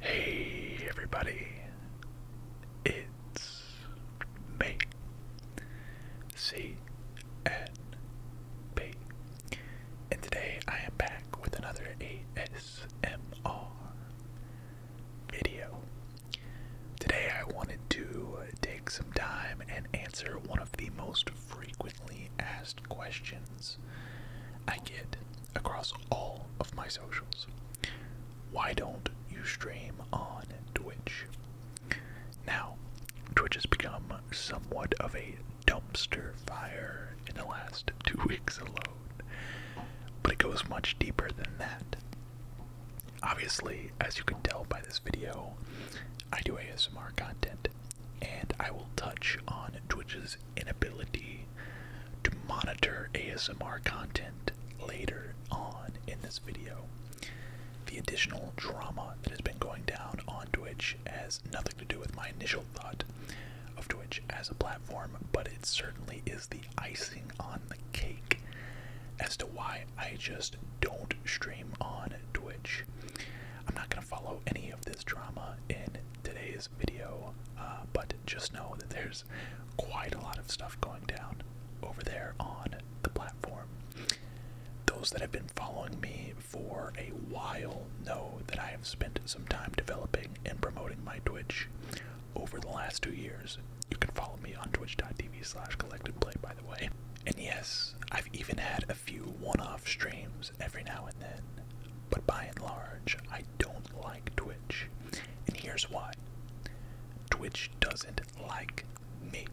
Hey everybody, it's me, C N P, and today I am back with another ASMR video. Today I wanted to take some time and answer one of the most frequently asked questions I get across all of my socials. Why don't you stream on Twitch? Now, Twitch has become somewhat of a dumpster fire in the last two weeks alone, but it goes much deeper than that. Obviously, as you can tell by this video, I do ASMR content and I will touch on Twitch's inability to monitor ASMR content later on in this video. The additional drama that has been going down on Twitch has nothing to do with my initial thought of Twitch as a platform, but it certainly is the icing on the cake as to why I just don't stream on Twitch. I'm not going to follow any of this drama in today's video, uh, but just know that there's quite a lot of stuff going down over there on the platform. Those that have been following me for a while know that I have spent some time developing and promoting my Twitch over the last two years. You can follow me on twitch.tv slash collected play, by the way. And yes, I've even had a a few one-off streams every now and then, but by and large, I don't like Twitch. And here's why. Twitch doesn't like me.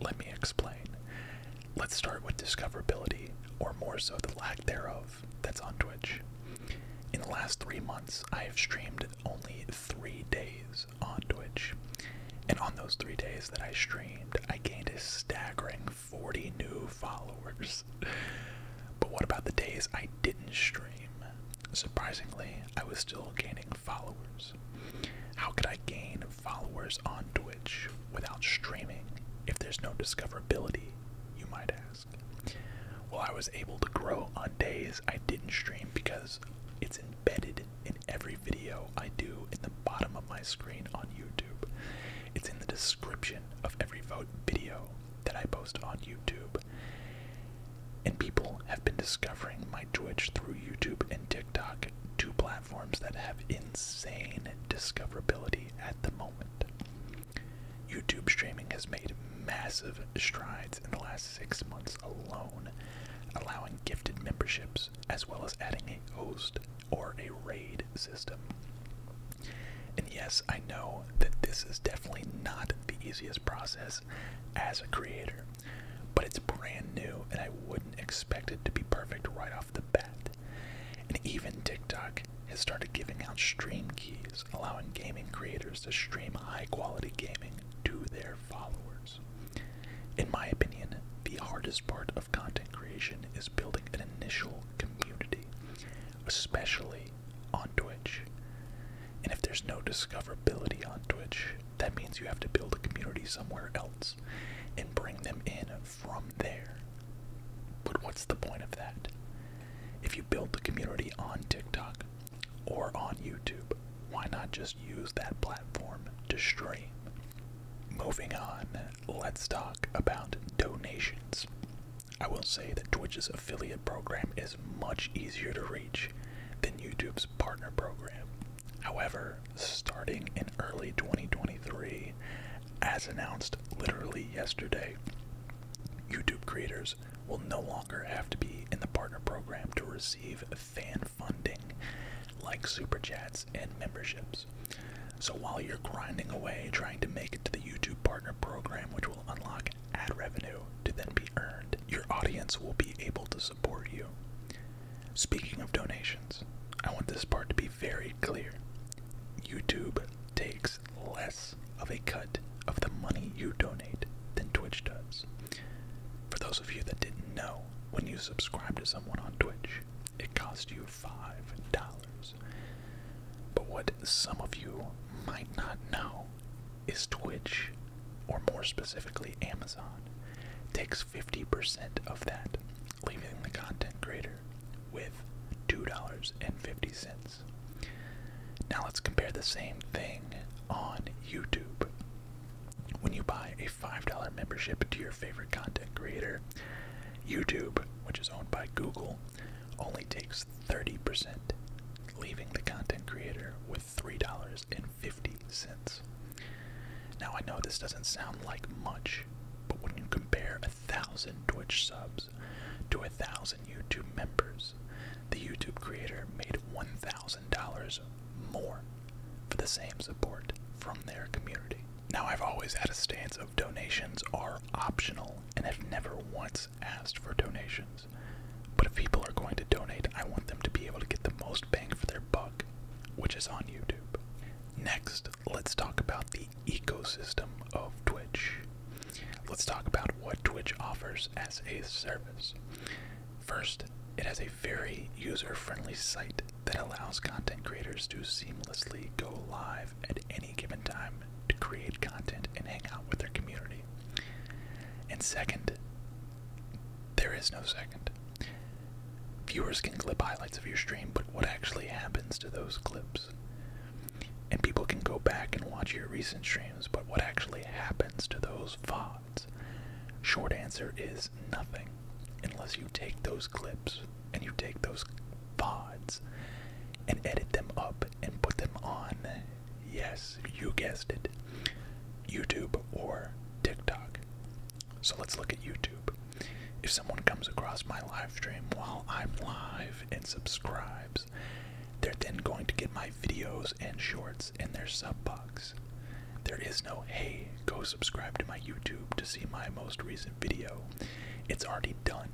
Let me explain. Let's start with discoverability, or more so the lack thereof, that's on Twitch. In the last three months, I have streamed only three days on Twitch. And on those three days that I streamed, I gained a staggering 40 new followers. But what about the days I didn't stream? Surprisingly, I was still gaining followers. How could I gain followers on Twitch without streaming if there's no discoverability, you might ask? Well, I was able to grow on days I didn't stream because it's in embedded in every video I do in the bottom of my screen on YouTube. It's in the description of every vote video that I post on YouTube. And people have been discovering my Twitch through YouTube and TikTok, two platforms that have insane discoverability at the moment. YouTube streaming has made massive strides in the last six months alone, allowing gifted memberships, as well as adding a host or a raid system. And yes, I know that this is definitely not the easiest process as a creator, but it's brand new and I wouldn't expect it to be perfect right off the bat. And even TikTok has started giving out stream keys, allowing gaming creators to stream high quality gaming to their followers. In my opinion, the hardest part of content creation is building an initial community, especially on Twitch. And if there's no discoverability on Twitch, that means you have to build a community somewhere else and bring them in from there. But what's the point of that? If you build the community on TikTok, or on YouTube. Why not just use that platform to stream? Moving on, let's talk about donations. I will say that Twitch's affiliate program is much easier to reach than YouTube's partner program. However, starting in early 2023, as announced literally yesterday, YouTube creators will no longer have to be in the partner program to receive fan funding like super chats and memberships. So while you're grinding away trying to make it to the YouTube Partner Program, which will unlock ad revenue to then be earned, your audience will be able to support you. Speaking of donations, I want this part to be very clear. YouTube takes less of a cut of the money you donate than Twitch does. For those of you that didn't know, when you subscribe to someone on Twitch, it costs you $5. But what some of you might not know is Twitch, or more specifically Amazon, takes 50% of that, leaving the content creator with $2.50 now let's compare the same thing on YouTube. When you buy a $5 membership to your favorite content creator, YouTube, which is owned by Google, only takes 30%, leaving the content creator with $3.50. Now I know this doesn't sound like much, but when you compare a thousand Twitch subs to a thousand YouTube members, the YouTube creator made $1,000 more for the same support from their community. Now, I've always had a stance of donations are optional and have never once asked for donations. But if people are going to donate, I want them to be able to get the most bang for their buck, which is on YouTube. Next, let's talk about the ecosystem of Twitch. Let's talk about what Twitch offers as a service. First, it has a very user friendly site that allows content creators to seamlessly go live at any given time to create content and hang out with their community. And second, there is no second. Viewers can clip highlights of your stream, but what actually happens to those clips? And people can go back and watch your recent streams, but what actually happens to those VODs? Short answer is nothing. Unless you take those clips and you take those VODs and edit them up and put them on, yes, you guessed it, YouTube or TikTok. So let's look at YouTube. If someone comes across my live stream while I'm live and subscribe they're then going to get my videos and shorts in their sub box. There is no, hey, go subscribe to my YouTube to see my most recent video. It's already done.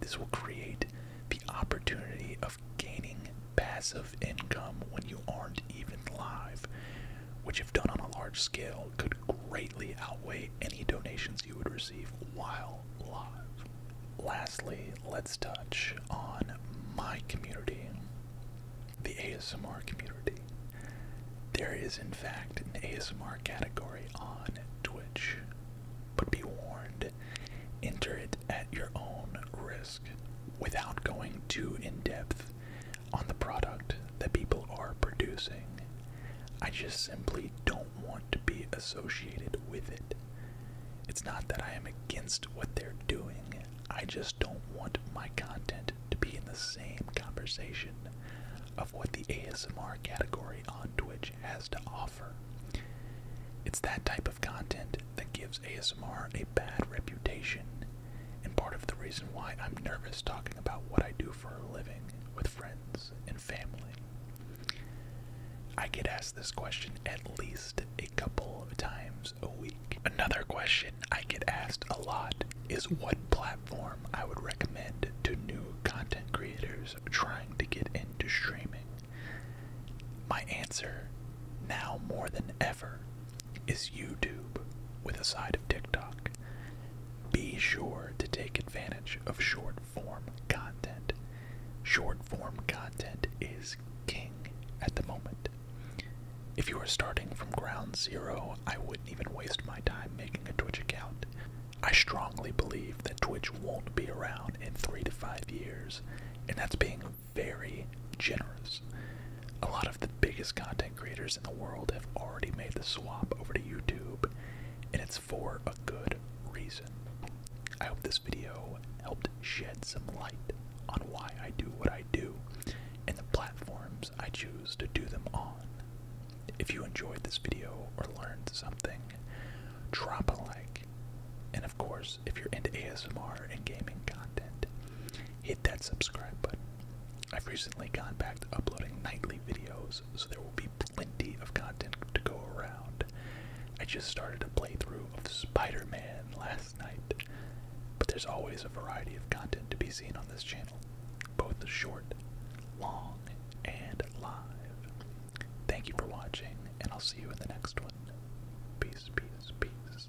This will create the opportunity of gaining passive income when you aren't even live, which, if done on a large scale, could greatly outweigh any donations you would receive while live. Lastly, let's touch on my community, the ASMR community. There is, in fact, an ASMR category on Twitch, but be warned, enter it at your own risk without going too in depth on the product that people are producing I just simply don't want to be associated with it. It's not that I am against what they're doing, I just don't want my content to be in the same conversation of what the ASMR category on Twitch has to offer. It's that type of content that gives ASMR a bad reputation, and part of the reason why I'm nervous talking about what I do for living with friends and family? I get asked this question at least a couple of times a week. Another question I get asked a lot is what platform I would recommend to new content creators trying to get into streaming. My answer, now more than ever, is YouTube with a side of TikTok. Be sure to take advantage of short form content. Short form content is king at the moment. If you are starting from ground zero, I wouldn't even waste my time making a Twitch account. I strongly believe that Twitch won't be around in three to five years, and that's being very generous a lot of the biggest content creators in the world have already made the swap over to YouTube, and it's for a good reason. I hope this video helped shed some light on why I do what I do and the platforms I choose to do them on. If you enjoyed this video or learned something, drop a like. And of course, if you're into ASMR and gaming content, hit that subscribe button. I've recently gone back to uploading nightly videos, so there will be plenty of content to go around. I just started a playthrough of Spider Man last night, but there's always a variety of content to be seen on this channel, both short, long, and live. Thank you for watching, and I'll see you in the next one. Peace, peace, peace.